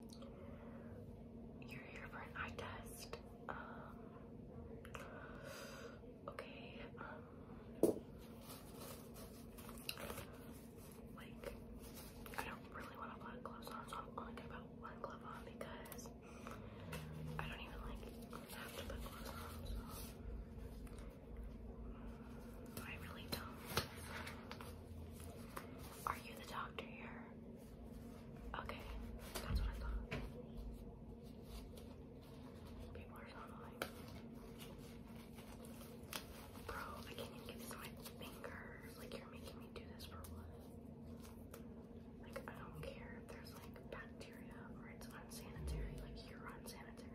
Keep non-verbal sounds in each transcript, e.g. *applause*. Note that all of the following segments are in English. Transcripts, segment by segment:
You're here for an eye test. Um, okay, um, like, I don't really want to put gloves on, so I'm only gonna put one glove on because I don't even like have to put gloves on, so I really don't. Are you the doctor here? Okay, that's what I thought. People are so annoying. Bro, I can't even get this my fingers. Like, you're making me do this for what? Like, I don't care if there's like bacteria or it's unsanitary. Like, you're unsanitary.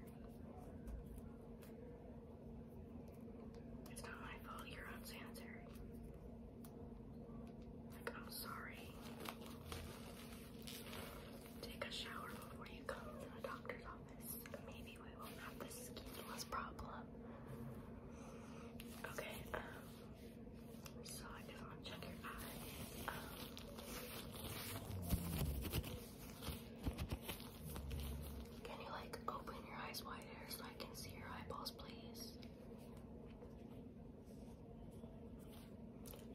It's not my fault you're unsanitary. Like, I'm sorry. Take a shower before you come to the doctor's office. Maybe we won't have this skinless problem. Okay, um, so I just want to check your eyes. Um, can you like open your eyes wider so I can see your eyeballs, please?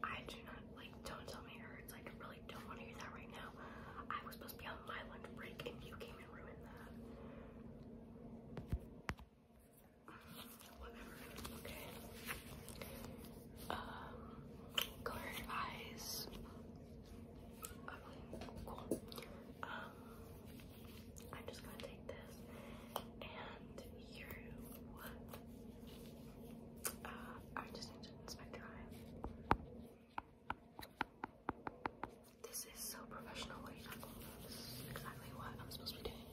I do not like. Don't tell me it hurts. I really don't want to hear that right now. I was supposed to be on my lunch break, and you came and ruined that. Whatever. Okay. Um, eyes. Um, I'm just gonna take this and you, uh, I just need to inspect your eye. This is so professional, what are you talking about? This is exactly what I'm supposed to be doing.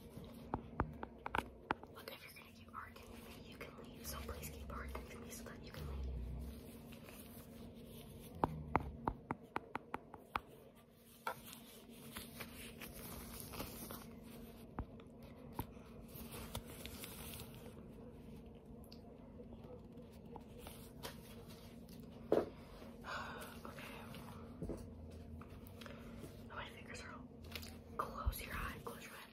Look, if you're gonna keep arguing you can leave. So please keep working with me so that you can leave. *sighs* okay. Oh, my fingers are all. Close your eye. Close your eye.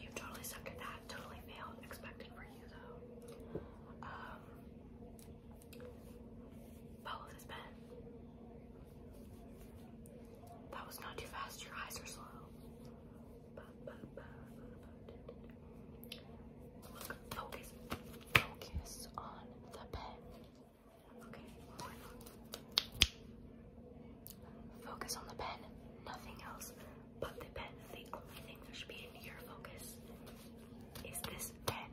You totally sucked at that. Totally failed. Expected for you though. Um, both has That was not too fast. Your eyes are slow. focus, focus on the pen. Focus on the pen, nothing else but the pen. The only thing that should be in your focus is this pen.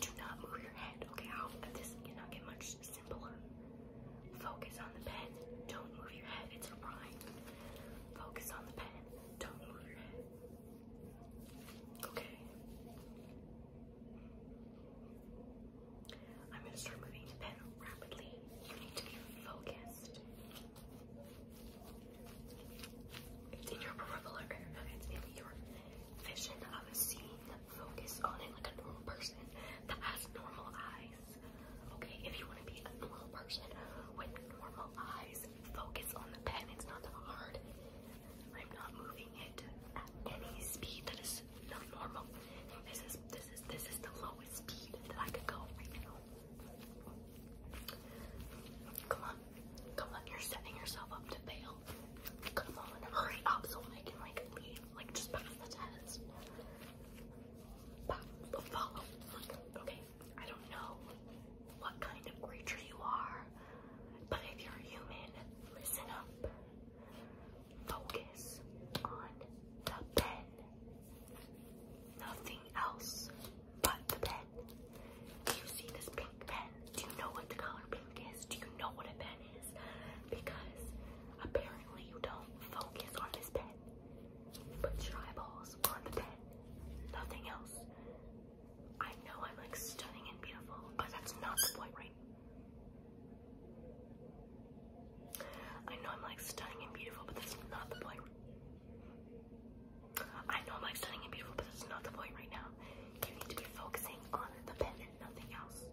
Do not move your head, okay? How this cannot get much simpler. Focus on the pen. Don't move your head. It's a rhyme. Focus on the pen. Don't move your head. Okay. I'm gonna start moving the pen rapidly. You need to be focused. It's in your peripheral, it's in your vision of a Focus on it like a normal person that has normal eyes. Okay, if you want to be a normal person with normal eyes, focus on the pen. It's not that hard. I'm not moving it at any speed that is not normal. This is this is this is the lowest speed that I could go right now. Come on, come on, you're setting yourself up to fail. Come on, hurry up so I can like leave, like just pass the test. Follow, okay. I don't know what kind of creature you are, but if you're human, listen up. Focus on the pen. Nothing else but the pen. Do you see this pink pen? Do you know what the color pink is? Do you know what a pen is? Because apparently you don't focus on this pen. Put your eyeballs on the pen. Nothing else. I know I'm like stunning and beautiful, but that's not the point, right? I know I'm like stunning and beautiful, but that's not the point. I know I'm like stunning and beautiful, but that's not the point right now. You need to be focusing on the pen nothing else.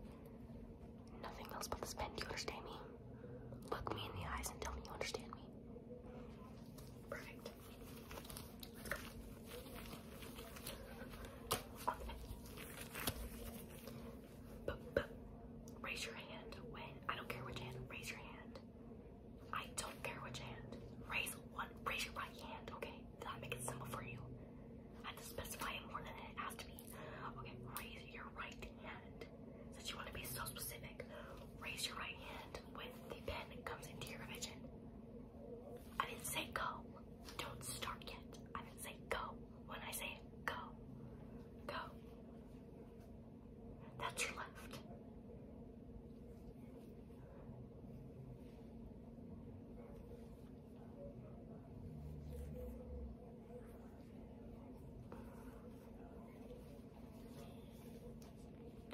Nothing else but this pen. Do you Look me in the eyes and tell me you understand me. Perfect raise your hand I don't care which hand. Raise your hand. I don't care which hand. Raise one. Raise your right hand. Okay. Did I make it simple for you? I have to specify it more than it has to Okay. Raise your right hand. Since you want to be so specific, raise your right hand when the pen comes into your vision, I didn't say go. Don't start yet. I didn't say go. When I say go, go. That's your left.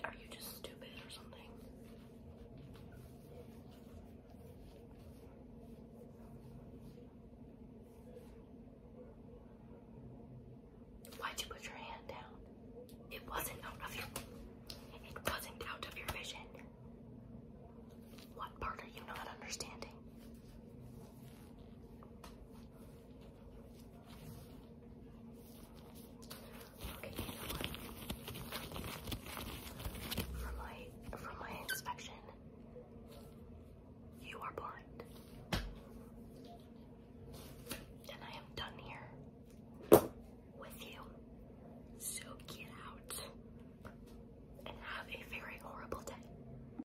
Are you just stupid or something? Why'd you put your hand down? It wasn't out of your it wasn't out of your vision. What part are you not understanding? Okay, you From my from my inspection, you are blind. And I am done here with you. So get out and have a very horrible day.